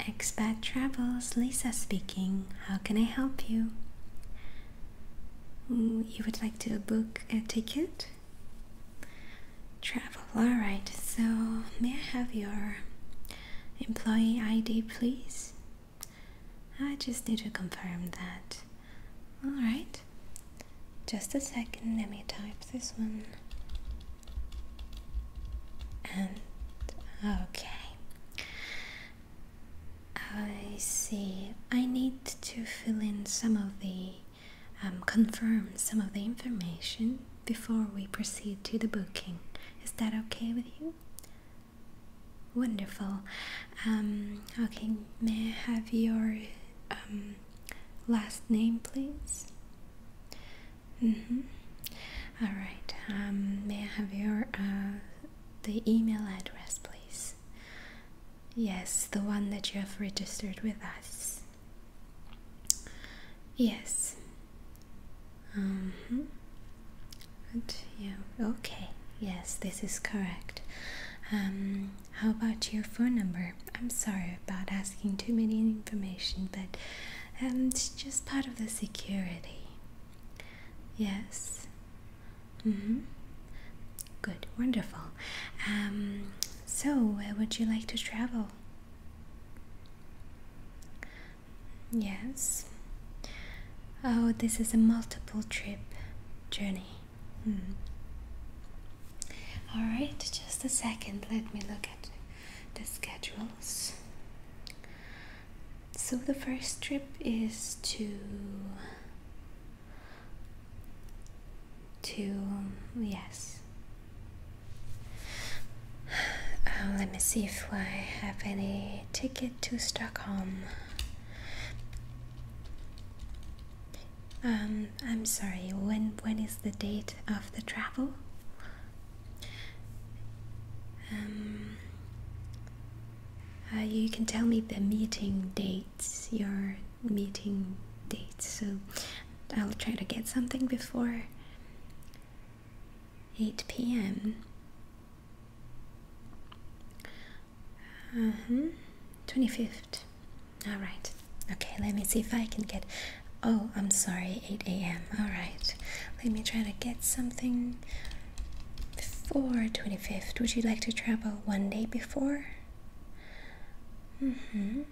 Expat Travels, Lisa speaking. How can I help you? Mm, you would like to book a ticket? Travel, alright. So, may I have your employee ID, please? I just need to confirm that. Alright. Just a second, let me type this one and okay. I see. I need to fill in some of the um, confirm some of the information before we proceed to the booking. Is that okay with you? Wonderful. Um, okay, may I have your um, last name, please? Mm-hmm. All right. Um, may I have your uh, the email address, please? Yes, the one that you have registered with us. Yes. Um. yeah. Okay. Yes, this is correct. Um. How about your phone number? I'm sorry about asking too many information, but and just part of the security. Yes. Mm-hmm. Good, wonderful. Um, so, where would you like to travel? Yes. Oh, this is a multiple trip journey. Mm. All right, just a second. Let me look at the schedule. So the first trip is to to yes. Um, let me see if I have any ticket to Stockholm. Um, I'm sorry. When when is the date of the travel? Um, uh, you can tell me the meeting dates, your meeting dates, so I'll try to get something before 8 p.m. Uh -huh. 25th. Alright. Okay, let me see if I can get Oh, I'm sorry, 8 a.m. Alright, let me try to get something before 25th. Would you like to travel one day before? Mm-hmm.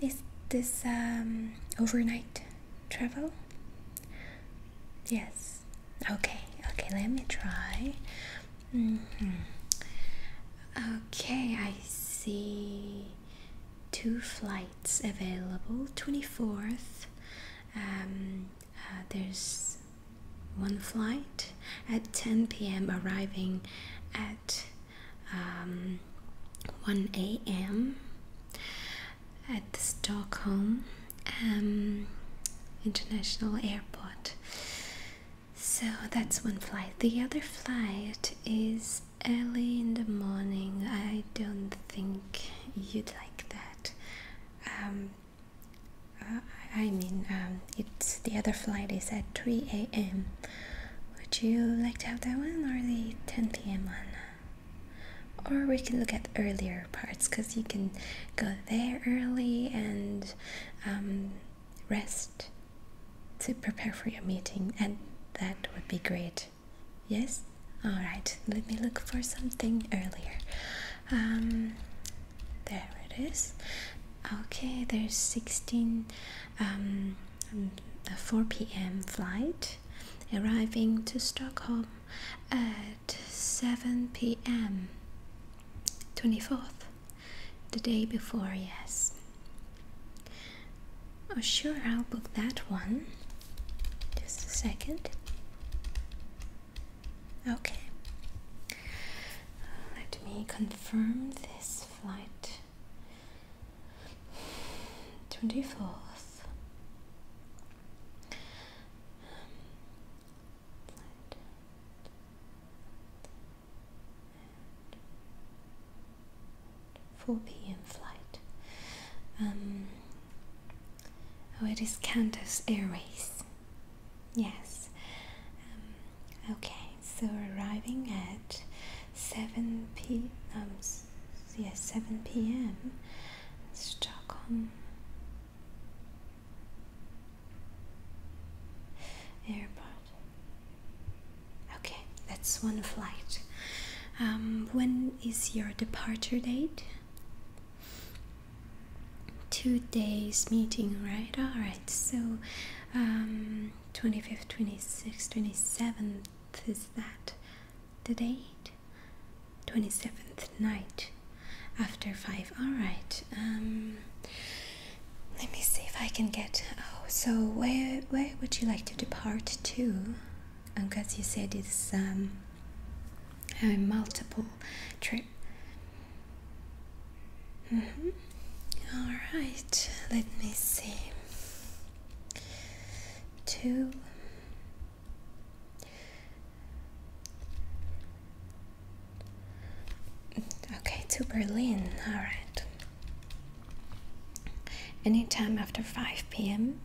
Is this um, overnight travel? Yes. Okay, okay, let me try. Mm -hmm. Okay, I see two flights. It's available 24th um, uh, there's one flight at 10 p.m arriving at um, 1 a.m at the stockholm um, international airport so that's one flight the other flight is early in the morning. I don't think you'd like that. Um, uh, I mean, um, it's the other flight is at 3 a.m. Would you like to have that one or the 10 p.m. one? Or we can look at earlier parts because you can go there early and um, rest to prepare for your meeting, and that would be great. Yes? Alright, let me look for something earlier. Um, there it is. Okay, there's 16, um, a 4 p.m. flight arriving to Stockholm at 7 p.m. 24th, the day before, yes. Oh, sure, I'll book that one. Just a second. Okay. Let me confirm this flight. 24th. 4 p.m. flight. Um, oh, it is Qantas Airways. Yes. Um, okay, so arriving at 7 p.m. Um, yes, 7 p.m. Stockholm Airport. Okay, that's one flight. Um, when is your departure date? Two days meeting, right? All right. So, um, twenty fifth, twenty sixth, twenty seventh is that the date? Twenty seventh night after five. All right. Um, let me see if I can get. Oh, so where where would you like to depart to? because you said it's um, multiple trip. Mm -hmm. All right, let me see. Two. Okay, to Berlin. All right. Anytime after 5 p.m.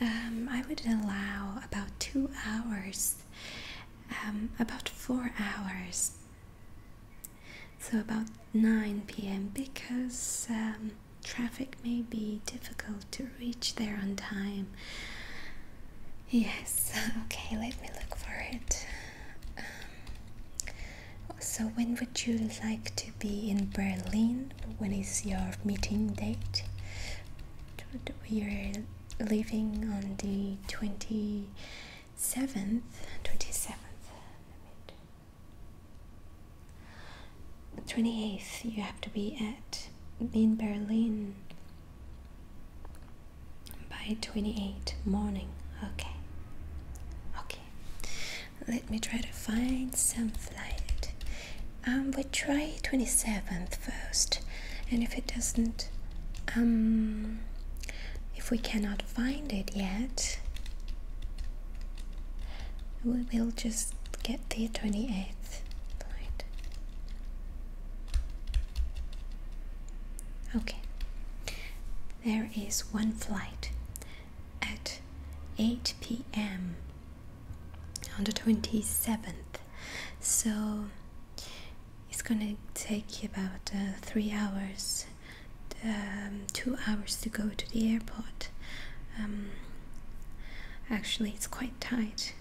Um, I would allow about two hours, um, about four hours. So about 9 p.m. because um, traffic may be difficult to reach there on time. Yes, okay, let me look for it. so, when would you like to be in Berlin? when is your meeting date? We're leaving on the 27th. 27th. 28th, you have to be at in Berlin by 28 morning. Okay. Okay. Let me try to find some flight. Um, we try 27th first, and if it doesn't, um, if we cannot find it yet, we will just get the 28th flight. Okay, there is one flight at 8 p.m on the 27th so it's gonna take about uh, three hours um, two hours to go to the airport um, actually it's quite tight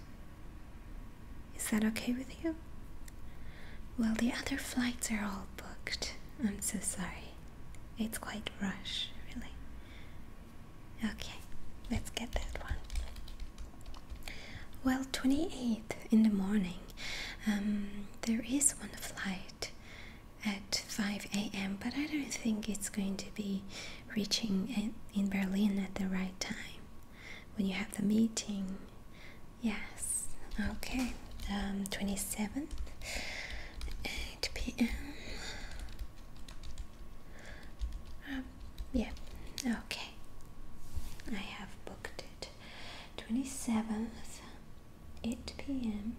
is that okay with you well the other flights are all booked i'm so sorry it's quite rush really Okay, let's get that one. Well, twenty eighth in the morning. Um, there is one flight at 5 a.m., but I don't think it's going to be reaching in Berlin at the right time when you have the meeting. Yes, okay. Um, twenty 8 p.m. Um, yeah, okay. I have booked it. 27th, 8 pm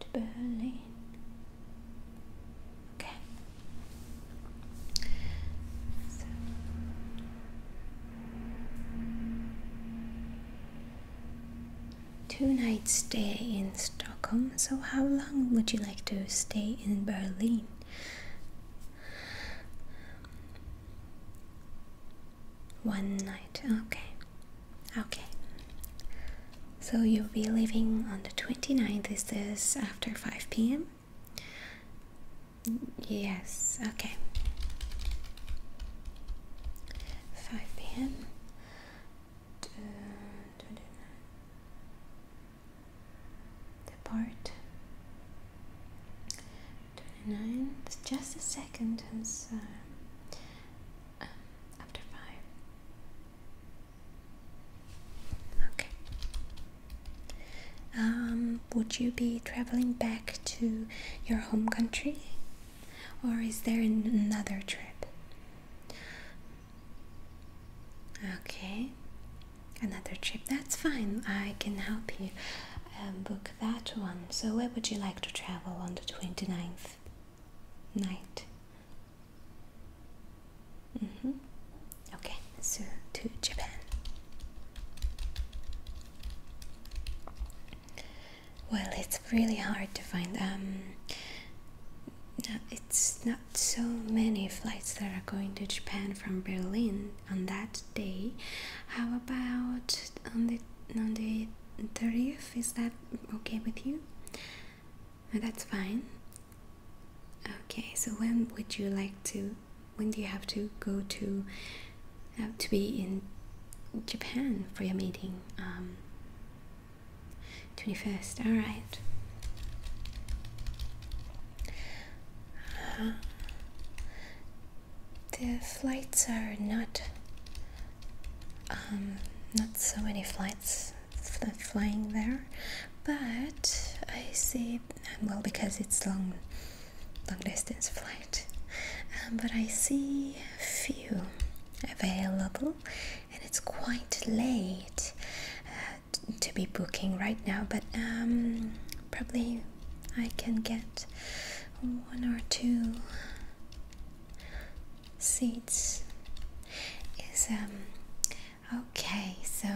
to Berlin. Okay two nights stay in Stockholm. So, how long would you like to stay in Berlin? One night, okay. Okay. So, you'll be leaving on the 29th, is this after 5 pm? Yes, okay. 5 pm uh, the part 29 just a second as uh, um, after 5 okay um, would you be traveling back to your home country or is there another trip Okay, another trip. That's fine. I can help you um, book that one. So, where would you like to travel on the 29th night? Mm -hmm. Okay, so to Japan well, it's really hard to find. Um, it's not so many flights that are going to Japan from Berlin on that day. How about on the on the thirtieth? Is that okay with you? Uh, that's fine. Okay, so when would you like to? When do you have to go to uh, to be in Japan for your meeting? Um, 21st, alright. Uh-huh. the flights are not, um, not so many flights flying there, but I see, um, well, because it's long, long distance flight, um, but I see few available and it's quite late uh, to be booking right now, but um, probably I can get one or two seats. Is um okay, so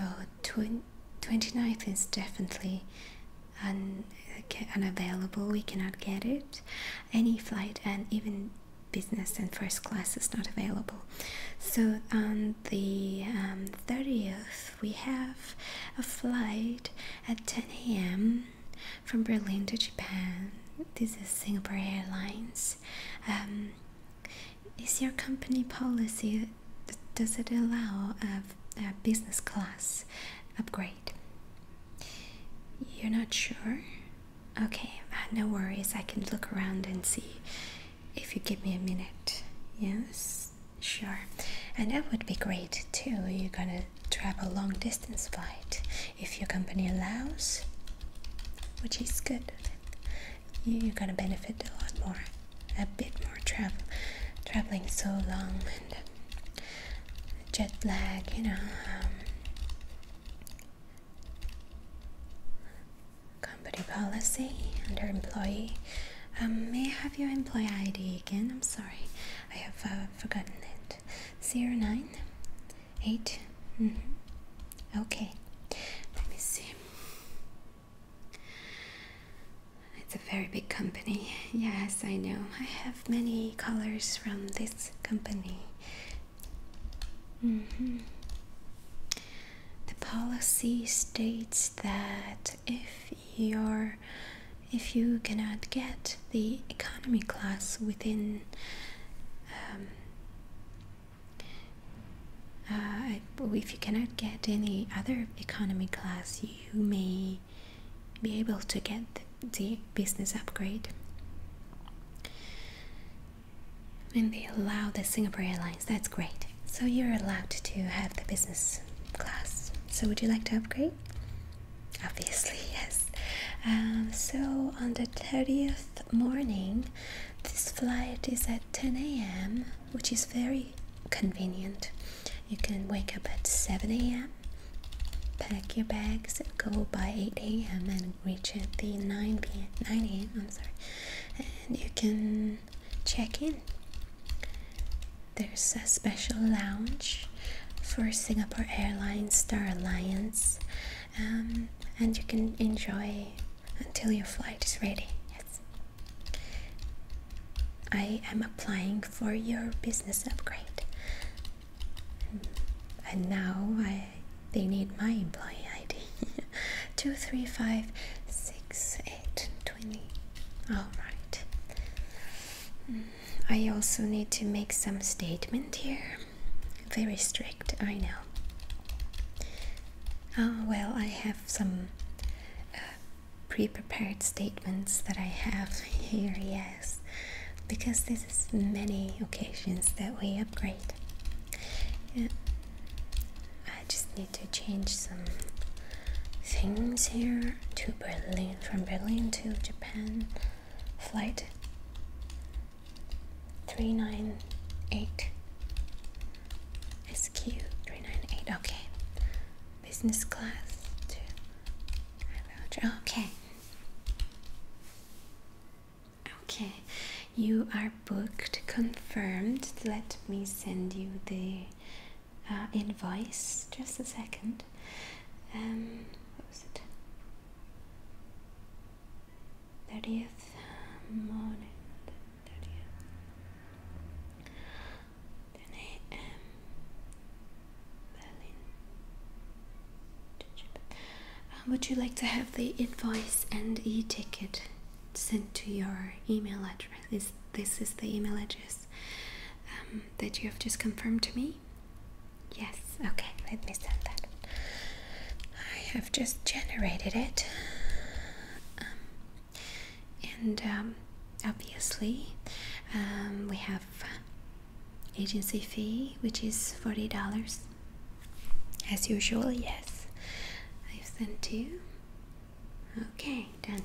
twen 29th is definitely un unavailable, we cannot get it. Any flight and even business and first class is not available. So on the 30th, um, we have a flight at 10 a.m. from Berlin to Japan. This is Singapore Airlines. Um, is your company policy does it allow a business class upgrade? You're not sure? Okay, uh, no worries. I can look around and see if you give me a minute. Yes, sure. And that would be great too. You're gonna travel long distance flight if your company allows, which is good. You're gonna benefit a lot more, a bit more travel, traveling so long and jet lag. You know, um, Company policy under employee. Um, may I have your employee ID again? I'm sorry, I have uh, forgotten it. Zero nine eight. -hmm. Okay, let me see. It's a very big company. Yes, I know. I have many callers from this company. Mm-hmm. The policy states that if you're if you cannot get the economy class within um, uh, if you cannot get any other economy class, you may be able to get the business upgrade. And they allow the Singapore Airlines, that's great. So you're allowed to have the business class. So would you like to upgrade? Obviously, yes. Um, so on the 30th morning, this flight is at 10 a.m., which is very convenient. You can wake up at 7 a.m., pack your bags, and go by 8 a.m., and reach at the 9 p.m. 9 a.m. I'm sorry, and you can check in. There's a special lounge for Singapore Airlines Star Alliance, um, and you can enjoy until your flight is ready. Yes, I am applying for your business upgrade, and now I they need my employee ID. 2356820. Alright. Mm, I also need to make some statement here. Very strict, I know. Oh, well, I have some uh, pre-prepared statements that I have here, yes. Because this is many occasions that we upgrade. Yeah. I just need to change some things here to Berlin, from Berlin to Japan flight 398 SQ 398. Okay, business class to okay. Okay, you are booked, confirmed. Let me send you the uh, invoice. Just a second. Um, what was it? 30th morning. 10 a.m. Berlin. Um, would you like to have the invoice and e-ticket sent to your email address? Is this is the email address um, that you have just confirmed to me? Yes. Okay. Let me send that. I have just generated it, um, and obviously we have agency fee, which is forty dollars as usual, yes. I've sent you. Okay, done.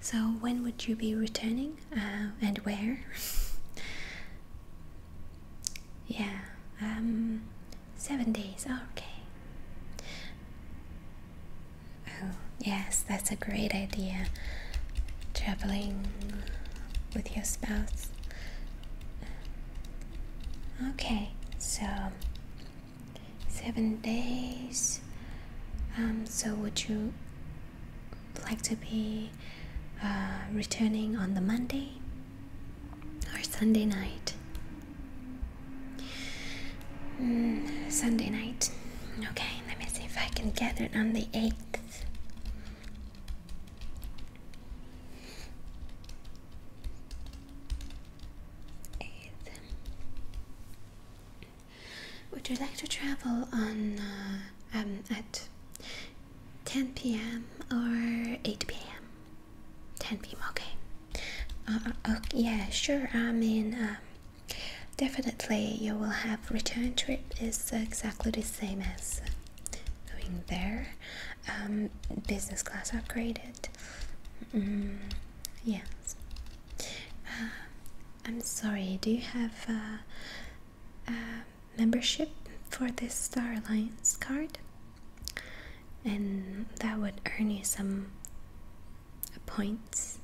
So, when would you be returning uh, and where? yeah, um, seven days, oh, okay. Oh, yes, that's a great idea. Traveling with your spouse Okay, so seven days. Um, so would you like to be uh, returning on the Monday or Sunday night? Hmm, Sunday night. Okay, let me see if I can get it on the 8th. Would you like to travel on uh, um, at 10 p.m. or 8 p.m.? 10 p.m. Okay. Uh, uh oh, Yeah, sure. I mean, um, definitely you will have return trip is exactly the same as going there. Um, business class upgraded. Mm, yes. Uh, I'm sorry. Do you have uh, membership for this Star Alliance card? And that would earn you some points.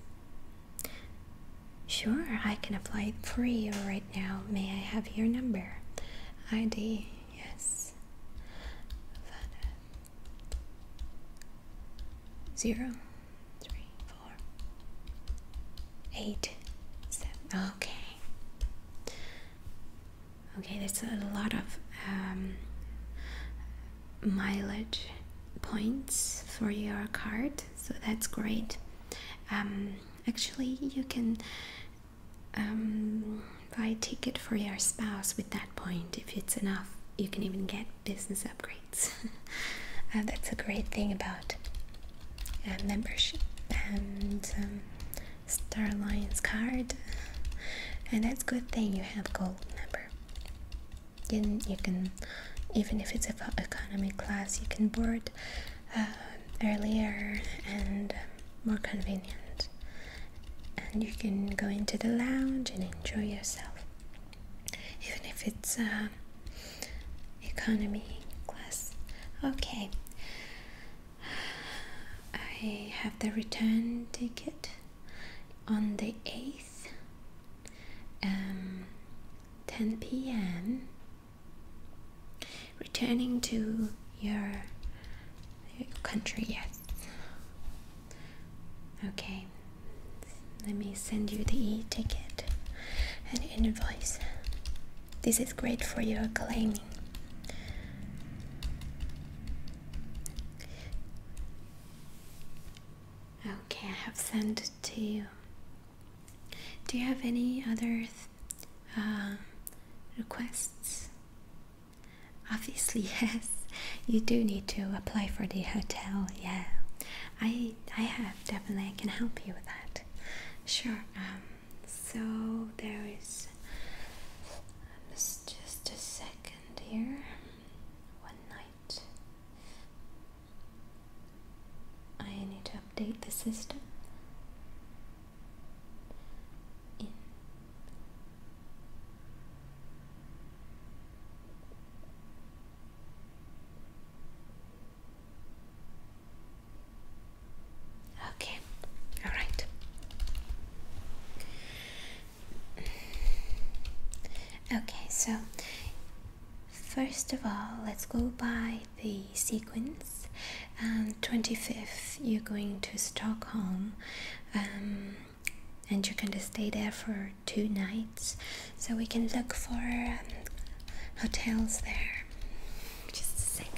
Sure, I can apply for you right now. May I have your number? ID, yes. Zero, three, four, eight, seven. Okay. Okay, that's a lot of um, mileage points for your card, so that's great. Um, actually, you can um, buy a ticket for your spouse with that point. If it's enough, you can even get business upgrades. Uh, that's a great thing about uh, membership and um, Star Alliance card. Uh, and that's good thing you have gold member. you can, even if it's about economy class, you can board earlier and more convenient and you can go into the lounge and enjoy yourself even if it's um, economy class okay I have the return ticket on the 8th um, 10 p.m returning to your country, yes. Okay, let me send you the e ticket and invoice. This is great for your claiming. Okay, I have sent it to you. Do you have any other uh, requests? Obviously, yes. You do need to apply for the hotel. Yeah, I I have definitely. I can help you with that. Sure. Um. So there is. Just a second here. One night. I need to update the system okay all right okay so First of all, let's go by the sequence. Um, 25th you're going to Stockholm um, and you're going to stay there for two nights so we can look for um, hotels there just a second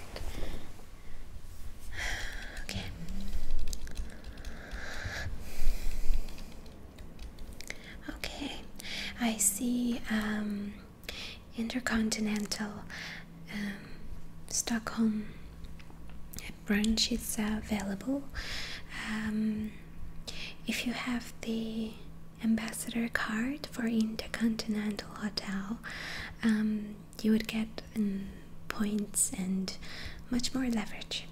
okay okay I see um, Intercontinental um, Stockholm branches is available. Um, if you have the ambassador card for Intercontinental Hotel, um, you would get points and much more leverage.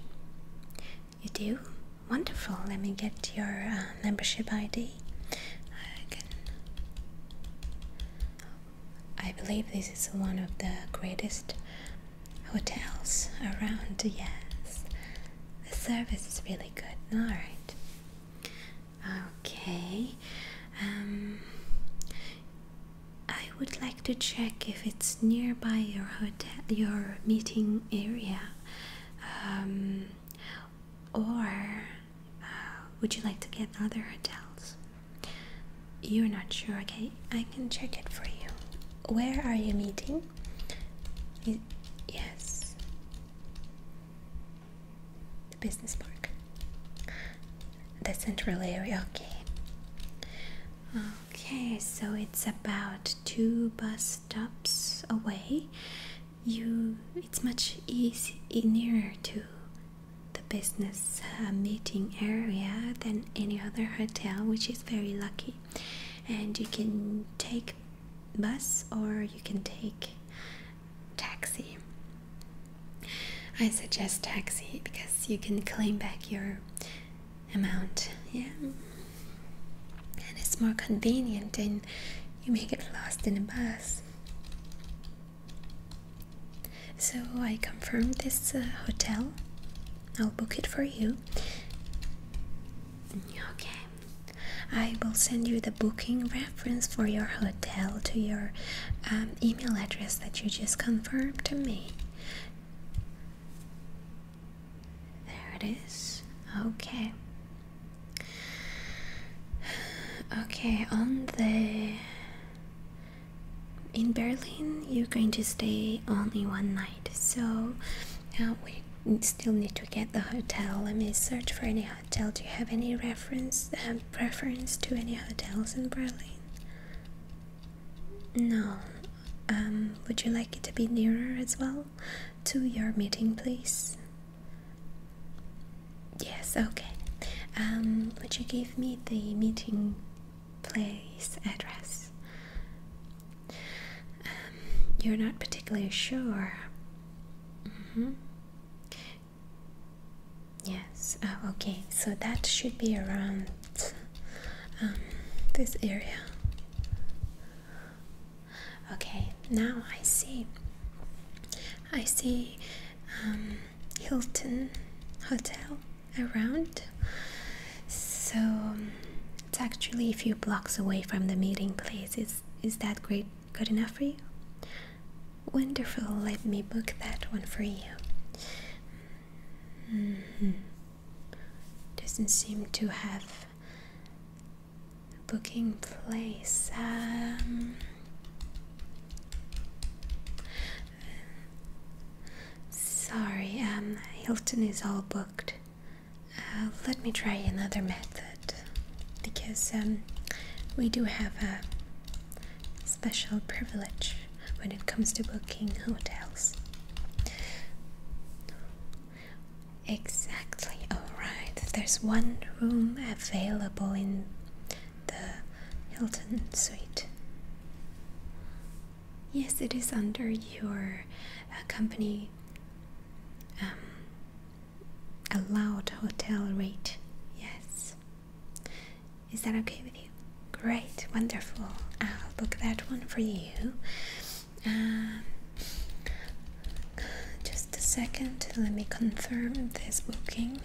You do? Wonderful. Let me get your uh, membership ID. I I believe this is one of the greatest hotels around, yes. The service is really good, alright. Okay, um, I would like to check if it's nearby your hotel, your meeting area, um, or uh, would you like to get other hotels? You're not sure, okay? I can check it for you. Where are you meeting? yes. The business park. The central area, okay. Okay, so it's about two bus stops away. You it's much easier nearer to the business uh, meeting area than any other hotel, which is very lucky. And you can take bus or you can take taxi. I suggest taxi because you can claim back your amount, yeah. And it's more convenient and you may get lost in a bus. So I confirmed this uh, hotel. I'll book it for you. Okay. I will send you the booking reference for your hotel to your um, email address that you just confirmed to me. There it is. Okay. Okay, on the in Berlin, you're going to stay only one night, so uh, we still need to get the hotel. Let me search for any hotel. Do you have any reference um, preference to any hotels in Berlin? No. Um, would you like it to be nearer as well to your meeting, please? Yes. Okay. Um, would you give me the meeting place address. Um, you're not particularly sure. Mm-hmm. Yes, oh, okay, so that should be around um, this area. Okay, now I see. I see um, Hilton hotel around. So um, it's actually a few blocks away from the meeting place. Is is that great good enough for you? Wonderful, let me book that one for you. Mm-hmm. Doesn't seem to have booking place. Um, Sorry, um, Hilton is all booked. Uh, let me try another method because um, we do have a special privilege when it comes to booking hotels. Exactly, alright. There's one room available in the Hilton suite. Yes, it is under your uh, company um, allowed hotel rate. Yes. Is that okay with you? Great, wonderful. I'll book that one for you. Uh, just a second, let me confirm this booking.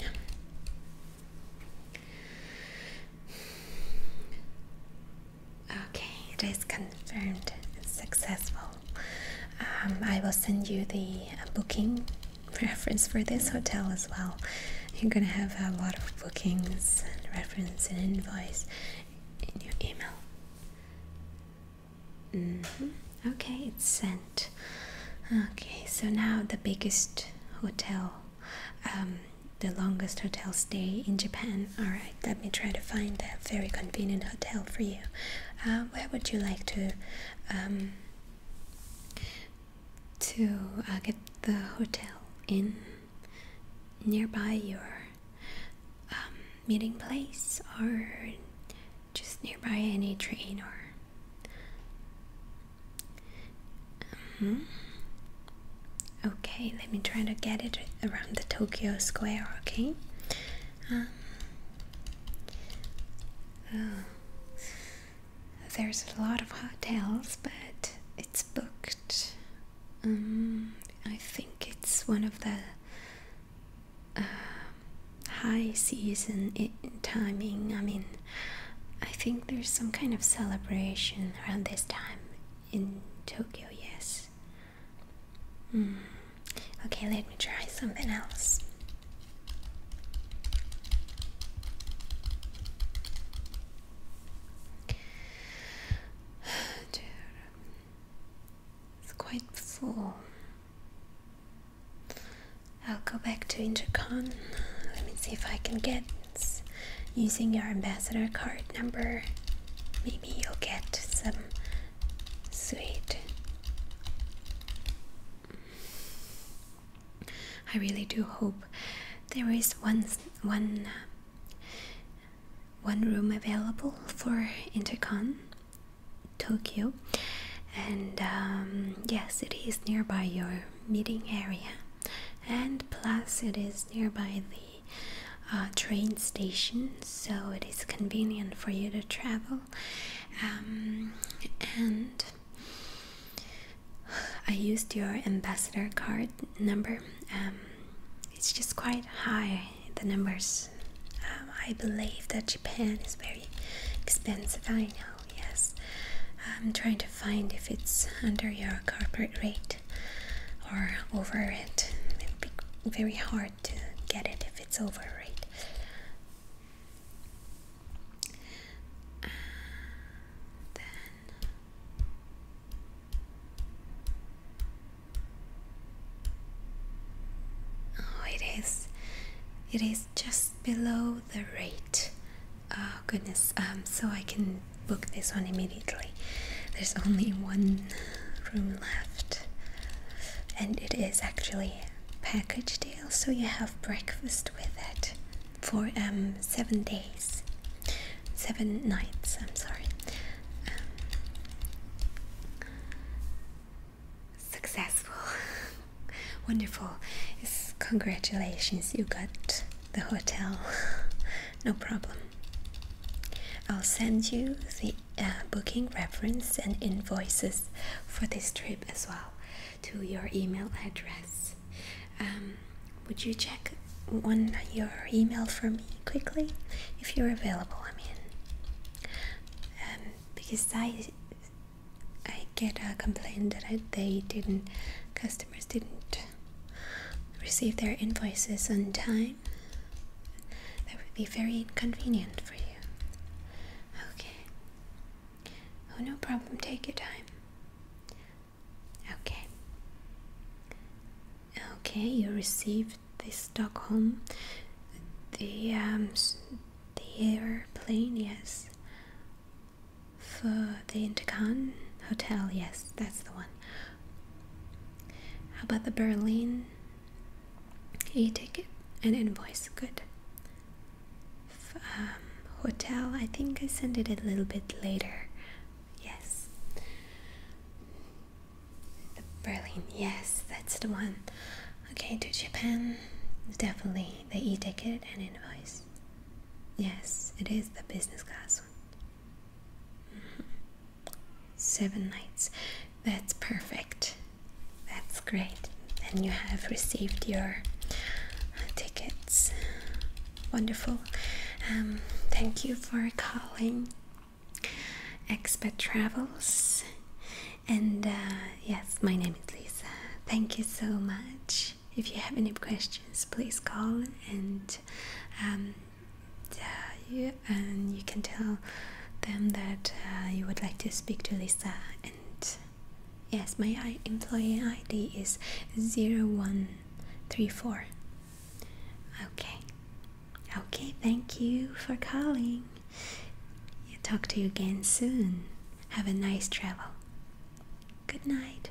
Okay, it is confirmed and successful. Um, I will send you the uh, booking reference for this hotel as well. You're gonna have a lot of bookings and reference and invoice in your email. Mm-hmm. Okay, it's sent. Okay, so now the biggest hotel um, the longest hotel stay in Japan. Alright, let me try to find a very convenient hotel for you. Uh, where would you like to um, to uh, get the hotel in? Nearby your um, meeting place or just nearby any train or um, okay, let me try to get it around the Tokyo Square, okay? Um, uh, there's a lot of hotels, but it's booked. Um, I think it's one of the uh, high season timing. I mean, I think there's some kind of celebration around this time in Tokyo, yes. Hmm. Okay, let me try something else. it's quite full. I'll go back to Intercon. Let me see if I can get using your ambassador card number, maybe you'll get some sweet. I really do hope there is one one one room available for Intercon Tokyo, and um, yes, it is nearby your meeting area and plus it is nearby the uh, train station so it is convenient for you to travel um, and I used your ambassador card number um, it's just quite high the numbers um, I believe that Japan is very expensive I know yes I'm trying to find if it's under your corporate rate or over it. It would be very hard to get it if it's over, right? Oh, it is. It is just below the rate Oh goodness. Um, so I can book this one immediately. There's only one room left, and it is actually package deal. So you have breakfast with it for um seven days, seven nights. I'm sorry. Um, successful, wonderful. Yes, congratulations, you got the hotel. no problem. I'll send you the uh, booking reference and invoices for this trip as well to your email address. Um, would you check on your email for me quickly if you're available? I mean, um, because I I get a complaint that they didn't customers didn't receive their invoices on time, that would be very inconvenient for you. Okay. Oh, no problem. Take your time. Okay. Okay, you received the Stockholm, the um, the airplane, yes. For the Intercon Hotel, yes, that's the one. How about the Berlin? e ticket, and invoice. Good. Um, hotel. I think I sent it a little bit later. Yes. The Berlin. Yes, that's the one. Okay, to Japan. Definitely the e-ticket and invoice. Yes, it is the business class one. Seven nights. That's perfect. That's great. And you have received your uh, tickets. Wonderful. Um, thank you for calling Expat Travels. And uh, yes, my name is Lisa. Thank you so much. If you have any questions, please call and um, uh, and you can tell them that uh, you would like to speak to Lisa and yes my employee ID is 0134 okay okay thank you for calling talk to you again soon have a nice travel good night